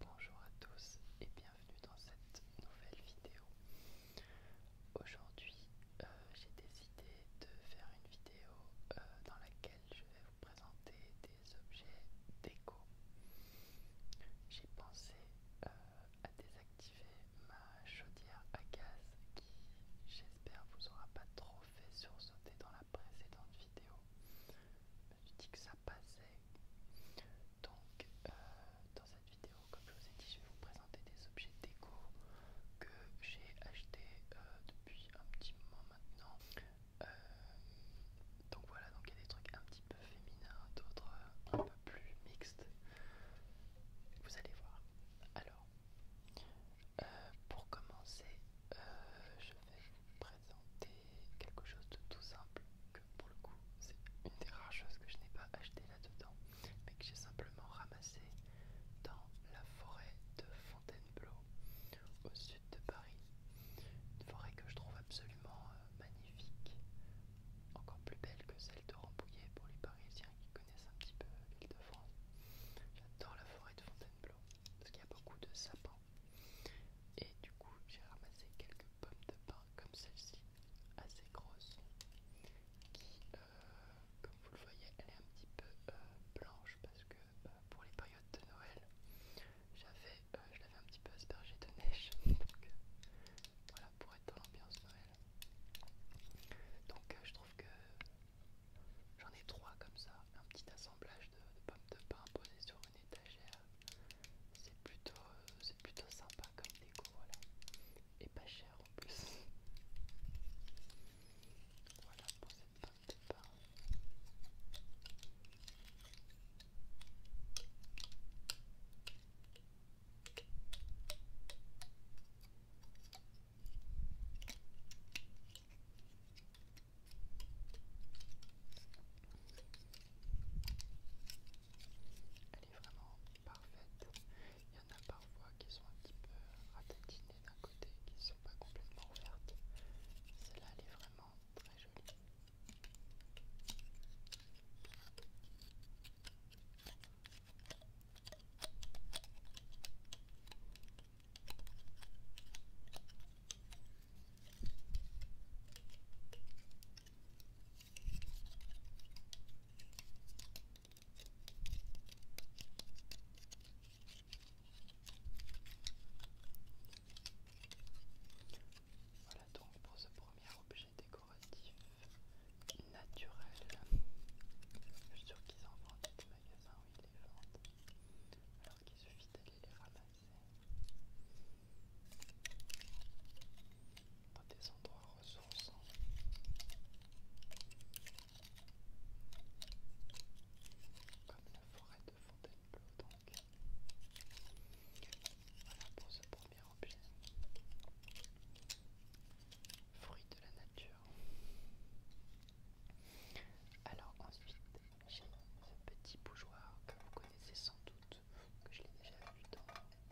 Bonjour à tous et bienvenue dans cette nouvelle vidéo. Aujourd'hui, euh, j'ai décidé de faire une vidéo euh, dans laquelle je vais vous présenter des objets déco. J'ai pensé euh, à désactiver ma chaudière à gaz qui, j'espère, vous aura pas trop fait sursauter dans la précédente vidéo. Je passé Donc, euh, dans cette vidéo, comme je vous ai dit, je vais vous présenter des objets déco que j'ai acheté euh, depuis un petit moment maintenant. Euh, donc voilà, donc il y a des trucs un petit peu féminins, d'autres un peu plus mixtes. Vous allez voir. Alors, pour commencer, je vais quelque chose de tout simple que pour le coup c'est une des rares choses que je n'ai pas acheté là-dedans mais que j'ai simplement ramassé dans la forêt de Fontainebleau au sud de Paris. Une forêt que je trouve absolument euh, magnifique, encore plus belle que celle de Rambouillet pour les Parisiens qui connaissent un petit peu l'île de France. J'adore la forêt de Fontainebleau parce qu'il y a beaucoup de sapins et du coup, j'ai ramassé quelques pommes de pain comme celle-ci, assez grosse, qui, euh, comme vous le voyez, elle est un petit peu euh, blanche parce que euh, pour les périodes de Noël, j'avais, je l'avais un petit peu aspergée de neige. Donc, voilà, pour être dans l'ambiance Noël. Donc, je trouve que j'en ai trois comme ça, un petit assemblage de, pommes de pain posées sur étagère. C'est plutôt, c'est plutôt sympa comme déco, voilà. Et pas cher en plus. Voilà pour cette fin de elle est vraiment parfaite. Il y en a parfois qui sont un petit peu ratatinées d'un côté, qui ne sont pas complètement ouvertes. Celle-là, elle est vraiment très jolie. Voilà donc pour ce premier objet décoratif naturel. Je suis sûr qu'ils en vendent des magasins où ils les vendent. Alors qu'il suffit d'aller les ramasser dans des endroits ressourçants. Comme la forêt de Fontainebleau, donc. Voilà pour ce premier objet. Fruit de la nature. Alors ensuite, j'ai ce petit bougeoir que vous connaissez sans doute, que je l'ai déjà vu dans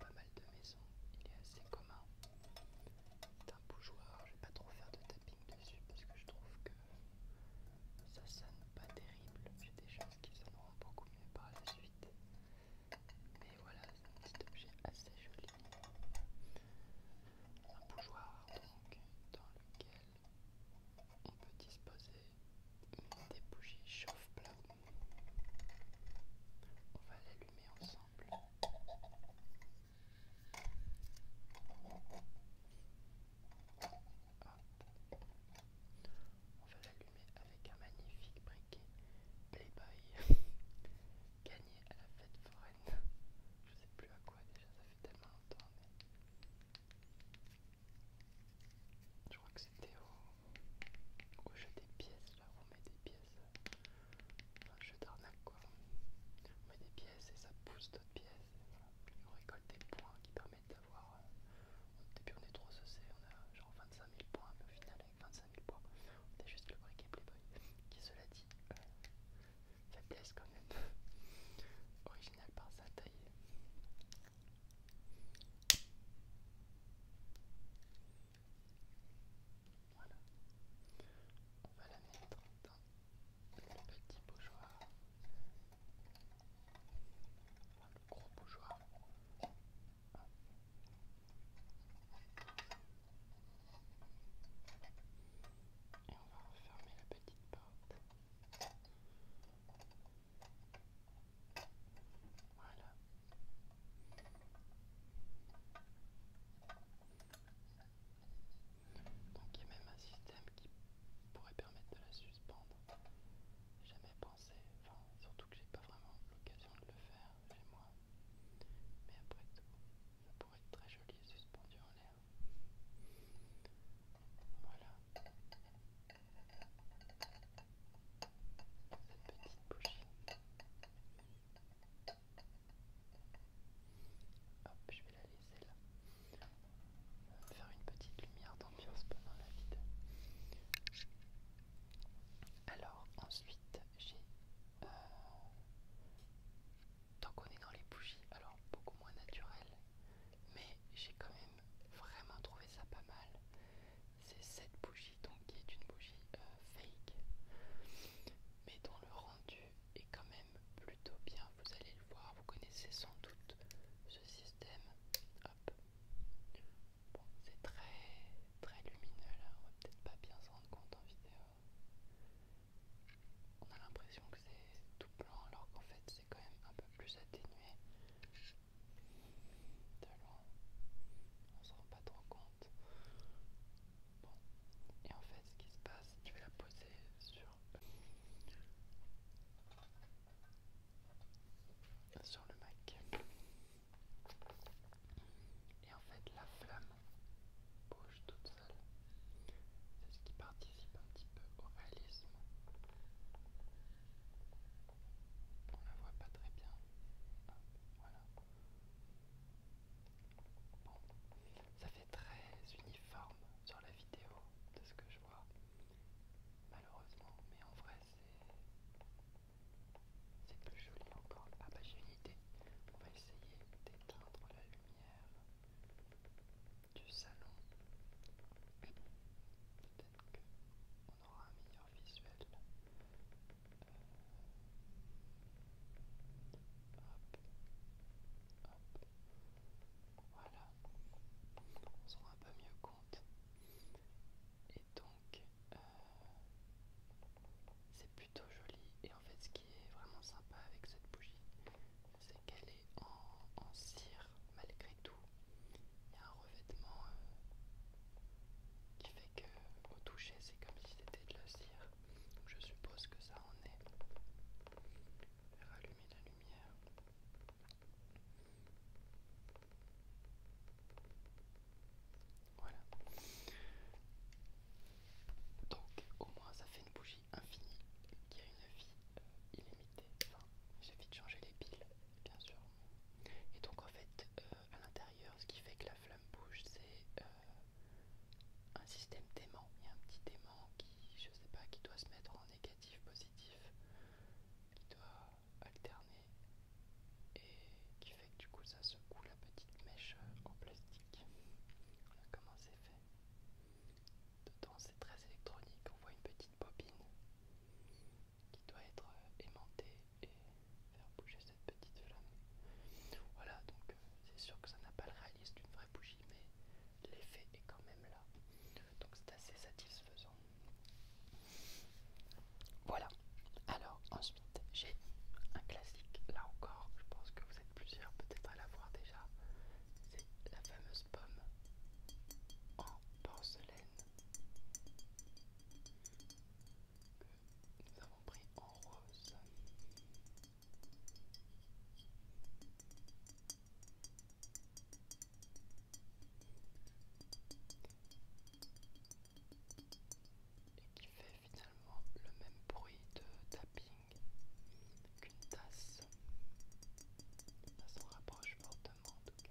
pas mal de maisons. Il est assez commun. C'est un bougeoir, je vais pas trop faire de tapping dessus parce que je trouve que ça sonne pas terrible. J'ai des choses qui sonneront beaucoup mieux par la suite. Mais voilà, c'est un petit objet assez joli. Un bougeoir donc dans lequel on peut disposer des bougies chauffe-plat. On va l'allumer ensemble. On va l'allumer avec un magnifique briquet Playboy gagné à la fête foraine. Je sais plus à quoi déjà, ça fait tellement longtemps. Je crois que c'était au, jeu des pièces, là, on met des pièces, enfin euh, jeu d'arnaque quoi, on met des pièces et ça pousse d'autres pièces, on récolte des points qui permettent d'avoir, euh, au début on est trop saucé, on a genre 25 000 points, mais au final avec 25 000 points, on est juste le briquet Playboy, qui cela dit, euh, fait pièce, quand même, originale par sa taille, voilà. On va la mettre dans le petit bougeoir. Enfin, le gros bougeoir. Et on va refermer la petite porte. Voilà. Donc il y a même un système qui pourrait permettre de la suspendre. Jamais pensé, enfin surtout que j'ai pas vraiment l'occasion de le faire chez moi. Mais après tout, ça pourrait être très joli suspendu en l'air. Voilà petite bougie. je vais la laisser là. faire une petite lumière d'ambiance pendant la vidéo. Alors ensuite j'ai... Euh, tant qu'on est dans les bougies, alors beaucoup moins naturel, mais j'ai quand même vraiment trouvé ça pas mal. C'est cette bougie donc qui est une bougie euh, fake, mais dont le rendu est quand même plutôt bien. Vous allez le voir, vous connaissez sans doute ce système. c'est très très lumineux là, on va peut-être pas bien se rendre compte en vidéo. On a l'impression que c'est tout blanc alors qu'en fait c'est quand même un peu plus atténué. De loin, on se rend pas trop compte. et en fait, ce qui se passe, tu vas la poser sur sur le Mac. Et en fait, la flamme bouge toute seule. C'est ce qui partit participe un petit peu au réalisme. On la voit pas très bien. voilà. ça fait très uniforme sur la vidéo de ce que je vois, malheureusement, mais en vrai c'est plus joli encore. Ah bah j'ai une idée, on va essayer d'éteindre la lumière du salon. Peut-être qu'on aura un meilleur visuel. Voilà. On se rend un peu mieux compte. Et donc, euh, c'est plutôt joli. Et en fait, ce qui est vraiment sympa avec cette bougie, c'est qu'elle est en, cire malgré tout. Il y a un revêtement euh, qui fait que au toucher c'est comme si c'était de la cire. je suppose que ça en est. Je la lumière. Voilà. Donc au moins ça fait une bougie infinie qui a une vie euh, illimitée. J'ai vite il de changer les piles, bien sûr. Et donc en fait, euh, à l'intérieur, ce qui fait que la flamme bouge, c'est euh, un système d'aimant. Il y a un petit aimant qui, je sais pas, qui doit se mettre en négatif, positif, qui doit alterner et qui fait que du coup ça secoue la petite mèche euh, en plastique. Voilà comment c'est fait. Dedans c'est très électronique, on voit une petite bobine qui doit être euh, aimantée et faire bouger cette petite flamme. Voilà, donc euh, c'est sûr que ça n'a pas le réalisme d'une vraie bougie, mais l'effet est quand même là. Donc c'est assez satisfaisant. Voilà. Alors ensuite j'ai un classique, là encore, je pense que vous êtes plusieurs peut-être à l'avoir déjà. C'est la fameuse Pomme en porcelaine que nous avons pris en rose. Et qui fait finalement le même bruit de tapping qu'une tasse ça s'en rapproche fortement en tout cas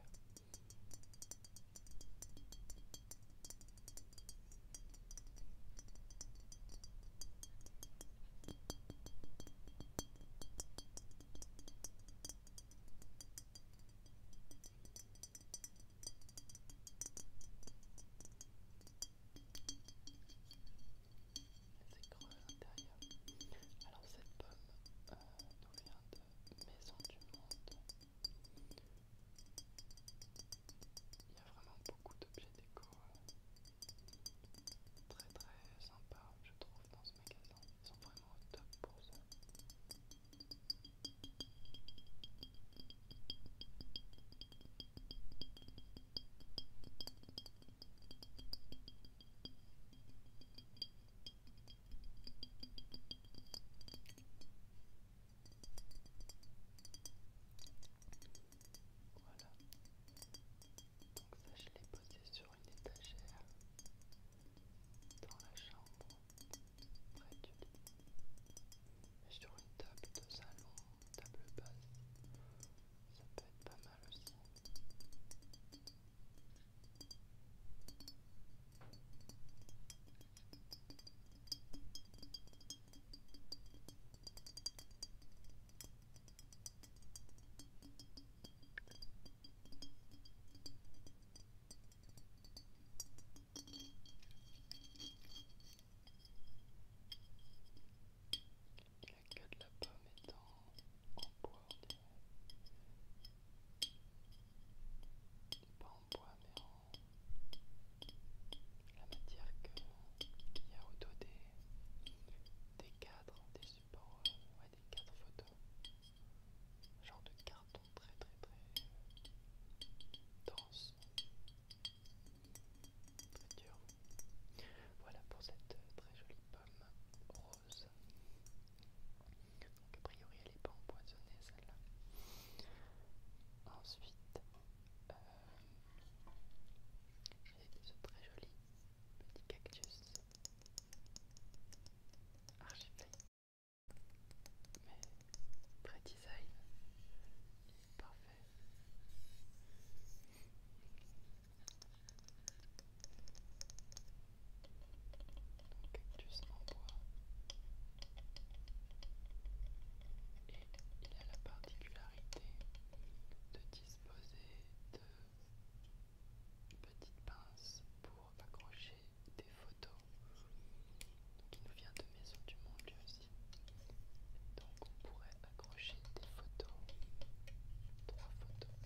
c'est à Alors cette pomme euh, nous vient de Maison du Monde. Il y a vraiment beaucoup d'objets déco euh, très très sympas je trouve dans ce magasin. Ils sont vraiment au top pour ça. Voilà. Donc ça je l'ai posé sur une étagère dans la chambre près du lit. sur une table de salon, table basse. Ça peut être pas mal aussi. La queue de la pomme étant en bois, on Pas en bois, mais en la matière qu'il y a autour des, des cadres, des supports, ouais, des cadres photos. Genre de carton très très très dense. Très dur. Voilà pour cette euh, très jolie pomme rose. Donc a priori elle n'est pas empoisonnée celle-là. Ensuite, euh, j'ai j'ai ce très joli petit cactus archipelagique, mais très design, il est parfait. Donc cactus en bois. Et il a la particularité de disposer de petites pinces pour accrocher des photos. Donc il nous vient de Maison du Monde aussi. Donc on pourrait accrocher des photos, trois photos,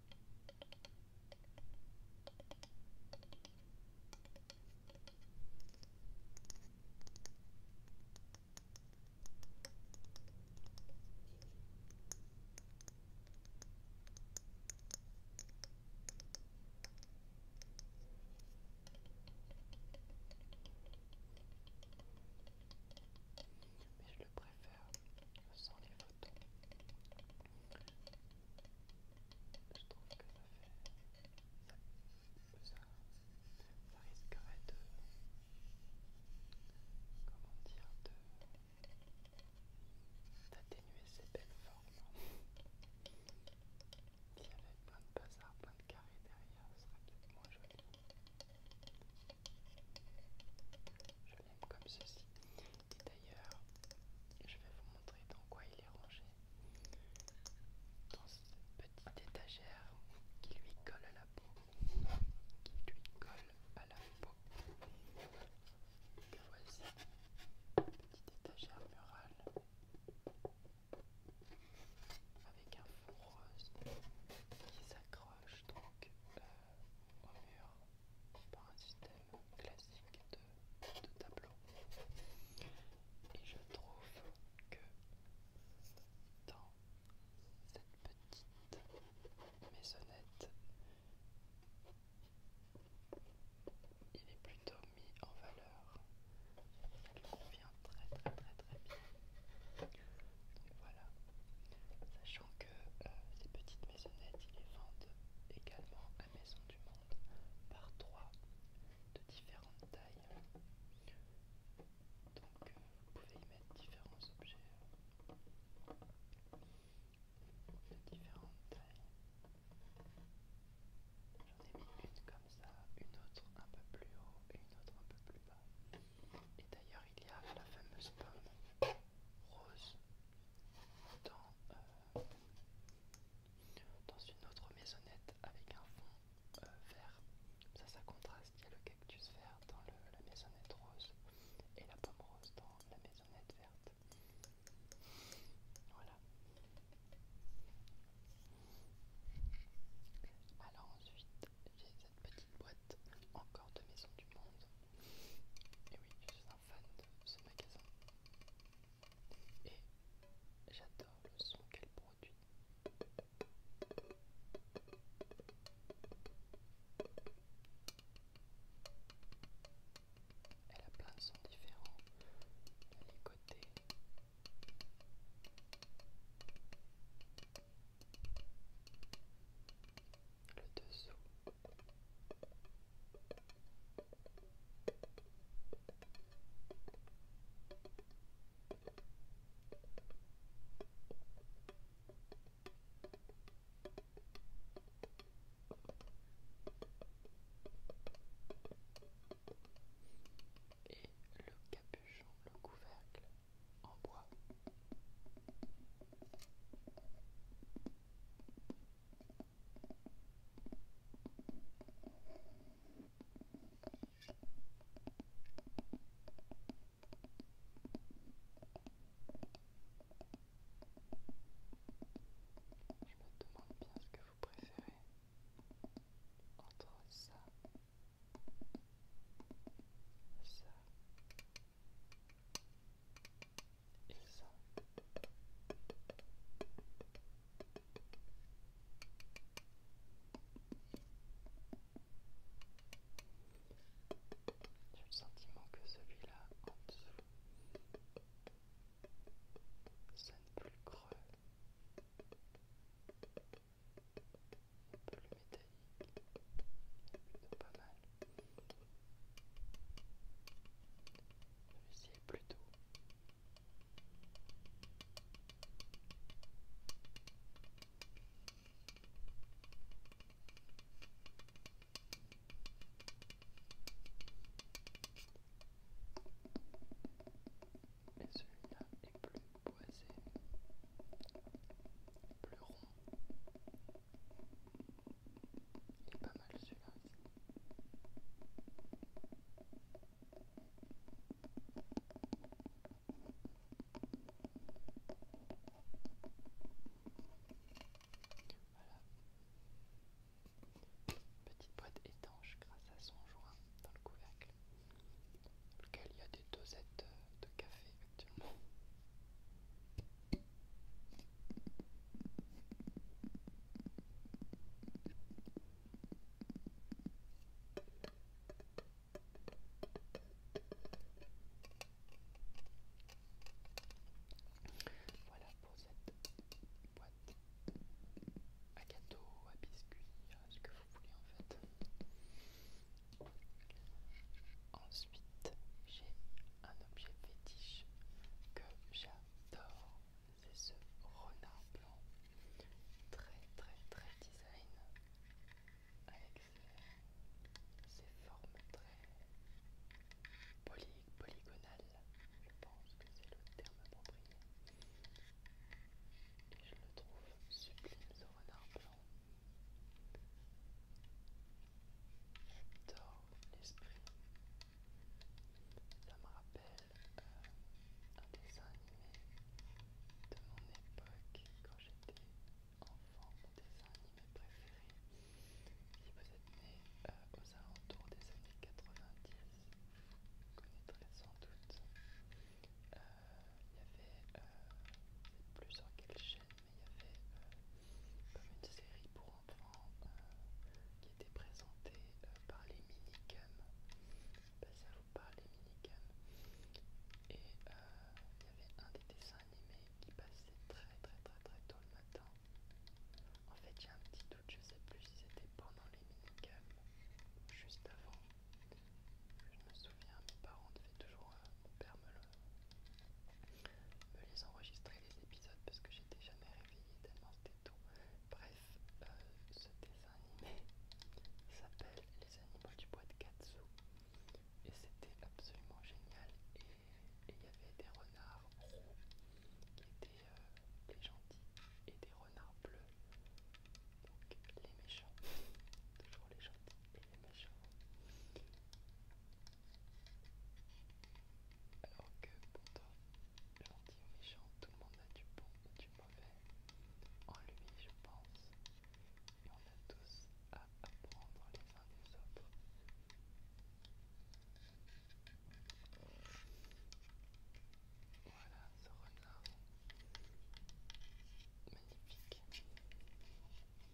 Mais je le préfère sans les je trouve que ça fait. Ça, ça risquerait de. Comment dire d'atténuer ces belles formes. S'il y avait plein de bazar, plein de carrés derrière, ce serait peut-être moins joli. Je comme ceci. Et d'ailleurs, je vais vous montrer dans quoi il est rangé. Dans cette petite étagère qui lui colle à la peau. Qui lui colle à la peau. Que voici. Petite étagère murale. Avec un fond rose qui s'accroche donc euh, au mur par un système classique de, tableau. Et je trouve que dans cette petite maisonnette, il est plutôt mis en valeur. Il convient très très très très bien voilà. Sachant que euh, ces petites maisonnettes, ils les vendent également à Maison du Monde par trois de différentes tailles. Donc euh, vous pouvez y mettre différents objets euh, de différentes tailles. J'en ai mis une comme ça, une autre un peu plus haut et une autre un peu plus bas. Et d'ailleurs il y a la fameuse pomme rose euh, dans, une autre maisonnette avec un fond euh, vert. Ça, ça contraste. Il y a le cactus vert dans la maisonnette rose et la pomme rose dans la maisonnette verte. Voilà. Alors ensuite, j'ai cette petite boîte encore de Maison du Monde et oui, je suis un fan de ce magasin. Et j'adore le son qu'elle produit. Elle a plein de sons différents, les côtés le dessous. Et le capuchon, le couvercle en bois. Je me demande bien ce que vous préférez entre ça, ça et ça. J'ai le sentiment que celui-là en dessous sonne plus creux, plus métallique. C'est pas mal. celui plutôt. Et plus boisé, plus rond pas mal celui-là Petite boîte étanche grâce à son joint dans le couvercle, dans lequel il y a des dosettes de café actuellement. Voilà pour cette boîte à gâteaux, à biscuits, à ce que vous voulez en fait. Ensuite, j'ai un objet fétiche que j'adore, c'est ce renard blanc, très très très design, avec ses, formes très polygonales, je pense que c'est le terme approprié. Et je le trouve sublime ce renard blanc. J'adore l'esprit. Ça me rappelle un dessin animé de mon époque quand j'étais enfant. Mon dessin animé préféré. Si vous êtes né aux alentours des années 90, vous connaîtrez sans doute. Il y avait, euh, je plus sur quelle chaîne il y comme une série pour enfants qui était présentée par les minicums. Je sais pas ça vous parle, les minicums. Et il y avait un des dessins animés qui passait très très très très tôt le matin. En fait, a un petit doute, je sais plus si c'était pendant les minicums ou juste avant. Je me souviens, mes parents devaient toujours euh, mon père me, les enregistrait les épisodes parce que j'étais jamais réveillée tellement c'était tôt. Bref, euh, ce dessin animé s'appelle Les animaux du bois de Katsu et c'était absolument génial et il y avait des renards qui étaient les euh, gentils et des renards bleus donc les méchants toujours les gentils et les méchants alors que pourtant, gentil ou méchant, tout le monde a du bon et du mauvais en lui, je pense. Et on a tous à apprendre les uns des autres. Voilà ce renard. Magnifique.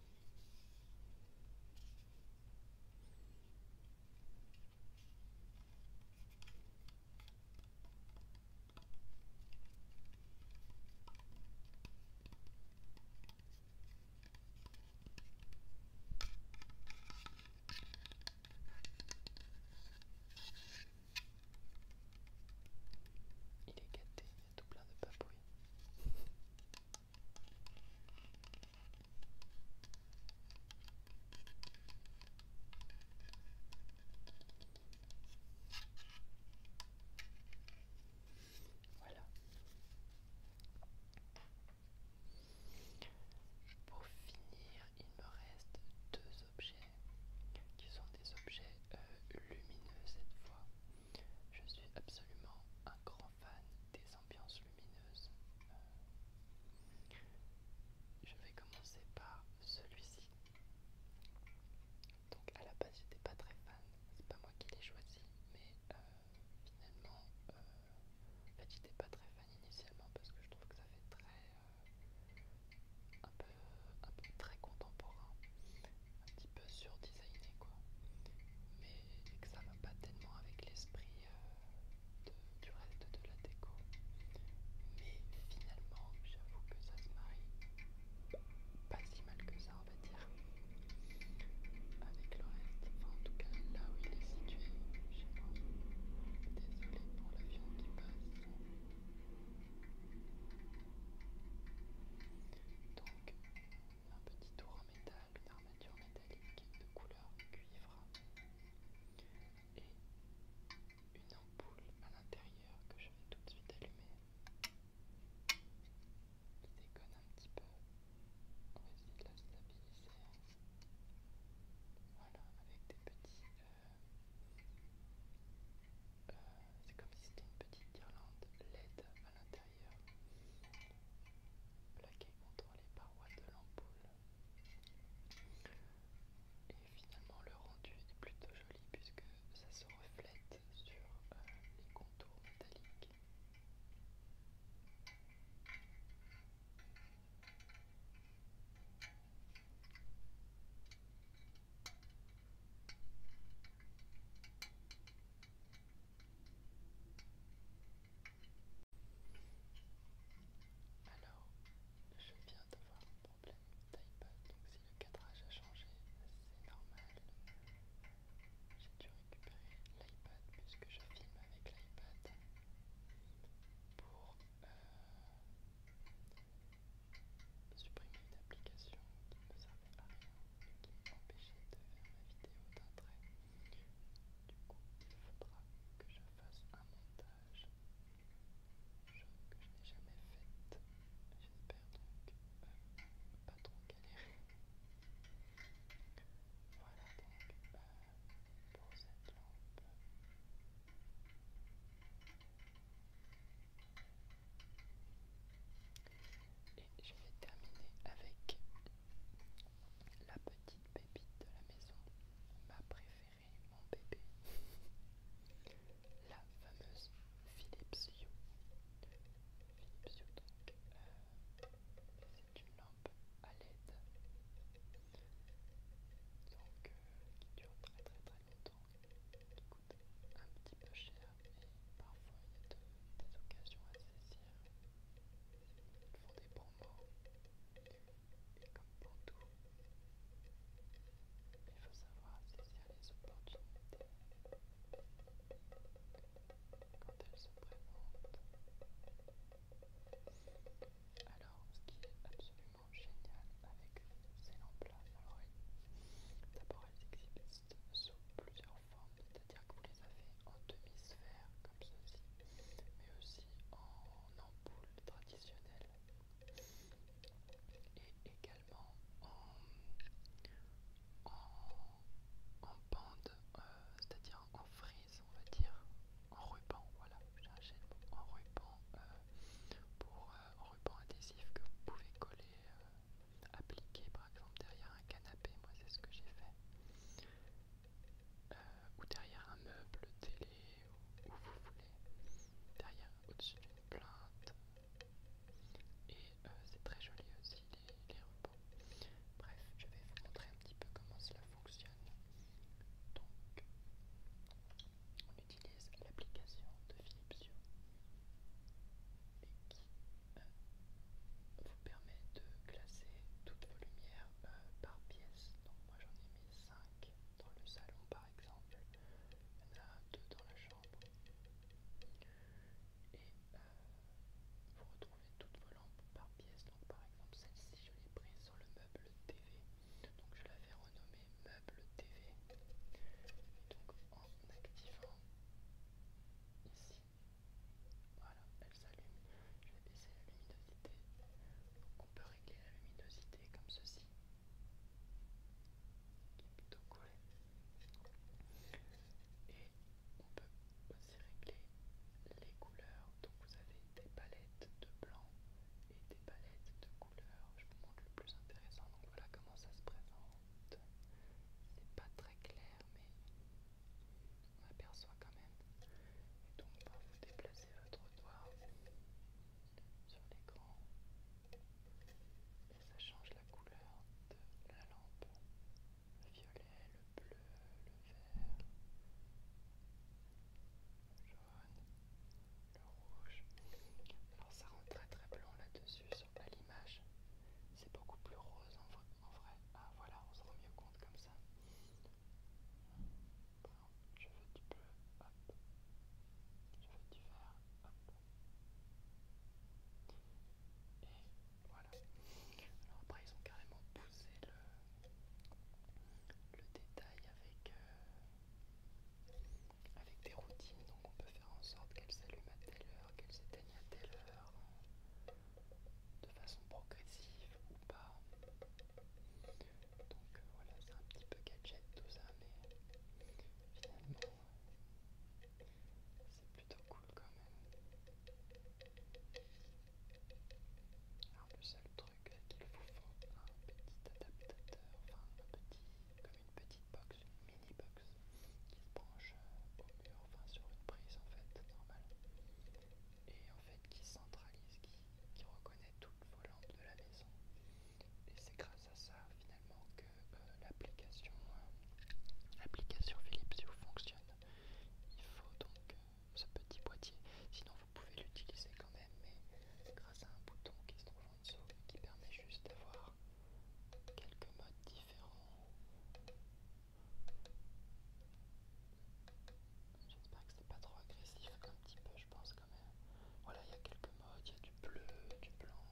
Il est gâté, il y a tout plein de papouilles. Voilà. Pour finir, il me reste deux objets qui sont des objets euh, lumineux cette fois. Je suis absolument un grand fan des ambiances lumineuses. Euh, je vais commencer par celui-ci. Donc à la base j'étais pas très fan, c'est pas moi qui l'ai choisi, mais euh, finalement euh, en j'étais pas très fan initialement parce que je trouve que ça fait très un peu un peu très contemporain un petit peu surdesigné quoi mais que ça va pas tellement avec l'esprit euh, du reste de la déco mais finalement j'avoue que ça se marie pas si mal que ça on va dire avec le reste enfin en tout cas là où il est situé sais pas, désolé pour l'avion qui passe donc un petit tour en métal, une armature métallique de couleur cuivre et une ampoule à l'intérieur que je vais tout de suite allumer qui déconne un petit peu on va essayer de la stabiliser hein. voilà avec des petits euh, euh, c'est comme si c'était une petite guirlande LED à l'intérieur, plaqué contre les parois de l'ampoule. Et finalement, le rendu est plutôt joli puisque ça se reflète sur euh, les contours métalliques. Alors, je viens d'avoir un problème d'iPad, donc si le cadrage a changé, c'est normal. J'ai dû récupérer l'iPad puisque je filme avec l'iPad pour euh, supprimer une application qui me servait à rien m'empêchait de faire ma vidéo d'un Du coup, il faudra que je fasse un montage, chose que je n'ai jamais faite. J'espère donc pas trop galérer. Voilà donc euh, pour cette lampe et je vais terminer avec la petite bébé de la maison, ma préférée, mon bébé, la fameuse Philips Hue. Philips donc, euh, c'est une lampe à LED, donc euh, qui dure très très très longtemps, qui coûte un petit peu cher, et parfois il y a des occasions à saisir. Ils font des y et comme pour tout, il faut savoir saisir les opportunités quand elles se présentent. Alors, ce qui est absolument génial avec ces lampes-là, alors d'abord elles existent sous plusieurs c'est-à-dire que vous les avez en demi-sphère comme ceci, mais aussi en ampoule traditionnelle et également en, en, bande, euh, c'est-à-dire en frise, on va dire, en ruban, voilà, j'achète en ruban, euh, pour euh, ruban adhésif que vous pouvez coller appliquer par exemple derrière un canapé, moi c'est ce que j'ai fait, euh, ou derrière un meuble, télé, ou vous voulez, derrière, au-dessus d'une plainte, et euh, c'est très joli aussi les, les repos. Bref, je vais vous montrer un petit peu comment cela fonctionne. Donc, on utilise l'application de Philips vous permet de classer toutes vos lumières euh, par pièce. Donc moi j'en ai mis 5 dans le salon par exemple. Il y en a 2 dans la chambre. Et euh, vous retrouvez toutes vos lampes par pièce. Donc par exemple celle-ci je l'ai prise sur le meuble TV. Donc je l'avais renommée meuble TV. donc en activant ici. Voilà, elle s'allume. Je vais baisser la luminosité. Donc on peut régler la luminosité comme ceci. Qui est plutôt Et on peut aussi régler les couleurs. Donc vous avez des palettes de blanc et des palettes de couleurs. Je vous montre le plus intéressant. Donc voilà comment ça se présente. C'est pas très clair, mais on aperçoit quand même. Et donc, vous déplacez votre doigt sur l'écran et ça change la couleur de la lampe. Le violet, le bleu, le vert, le jaune, le rouge. Alors ça rend très très blanc là-dessus, à l'image. C'est beaucoup plus rose en, vrai. Ah voilà, on se rend mieux compte comme ça. je veux du bleu, hop. Je veux du vert, Et voilà. Alors après ils ont carrément poussé le, le détail avec, euh, avec des routines. Donc on peut faire en sorte qu'elles s'allument à telle heure, qu'elles s'éteignent à telle heure, de façon progressive ou pas. Donc euh, voilà, c'est un petit peu gadget tout ça, mais finalement, c'est plutôt cool quand même. Alors le seul truc qu'il vous faut, un petit adaptateur, enfin un petit, comme une petite box mini box qui se branche euh, enfin sur une prise en fait, normale, et en fait qui centralise, qui, reconnaît toutes vos lampes de la maison. Et c'est grâce à ça finalement que euh, euh, l'application Philips fonctionne. Il faut donc ce petit boîtier, sinon vous pouvez l'utiliser quand même, mais grâce à un bouton qui se trouve en dessous qui permet juste d'avoir quelques modes différents. J'espère que c'est pas trop agressif, un petit peu je pense quand même. Voilà, il y a quelques modes, il y a du bleu, du blanc,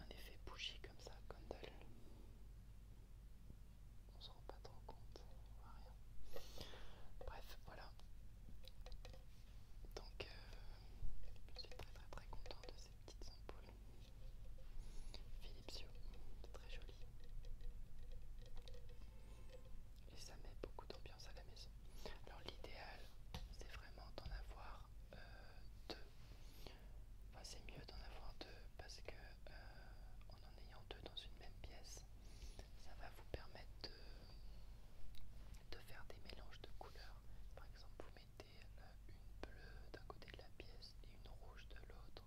un effet bougie comme ça, quand On se rend pas trop compte, on voit rien. Bref, voilà. Donc, euh, je suis très très très content de ces petites ampoules. Philipsio, très joli. Et ça met beaucoup d'ambiance à la maison. Alors l'idéal, c'est vraiment d'en avoir euh, deux. c'est mieux d'en avoir deux parce que euh, en en ayant deux dans une même pièce, ça va vous permettre de, de faire des mélanges de couleurs. Par exemple, vous mettez une bleue d'un côté de la pièce et une rouge de l'autre,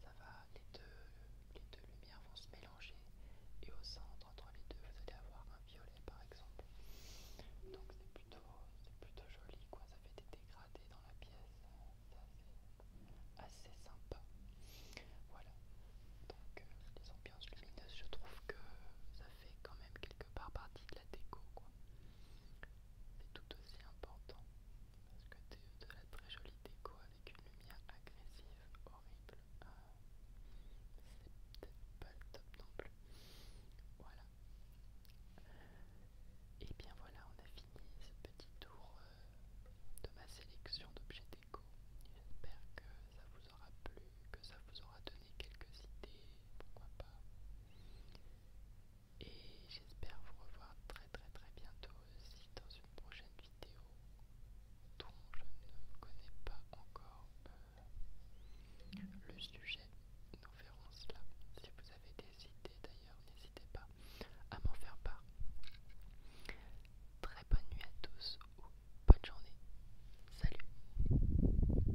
ça va, les deux, lumières vont se mélanger et au centre entre les deux vous allez avoir un violet par exemple. Donc c'est plutôt, joli ça fait des dégradés dans la pièce, c'est assez, sympa. Voilà, donc euh, les ambiances lumineuses je trouve que ça fait quand même quelque part partie de la déco c'est tout aussi important parce que de, de la très jolie déco avec une lumière agressive, horrible, ah, c'est peut-être pas le top non plus. Voilà. Et bien voilà, on a fini ce petit tour euh, de ma sélection d'objets déco. J'espère que ça vous aura plu, que ça vous aura donné quelques idées pourquoi pas. Et j'espère vous revoir très très très bientôt aussi dans une prochaine vidéo dont je ne connais pas encore euh, le sujet. Nous verrons cela. Si vous avez des idées d'ailleurs, n'hésitez pas à m'en faire part. Très bonne nuit à tous ou bonne journée. Salut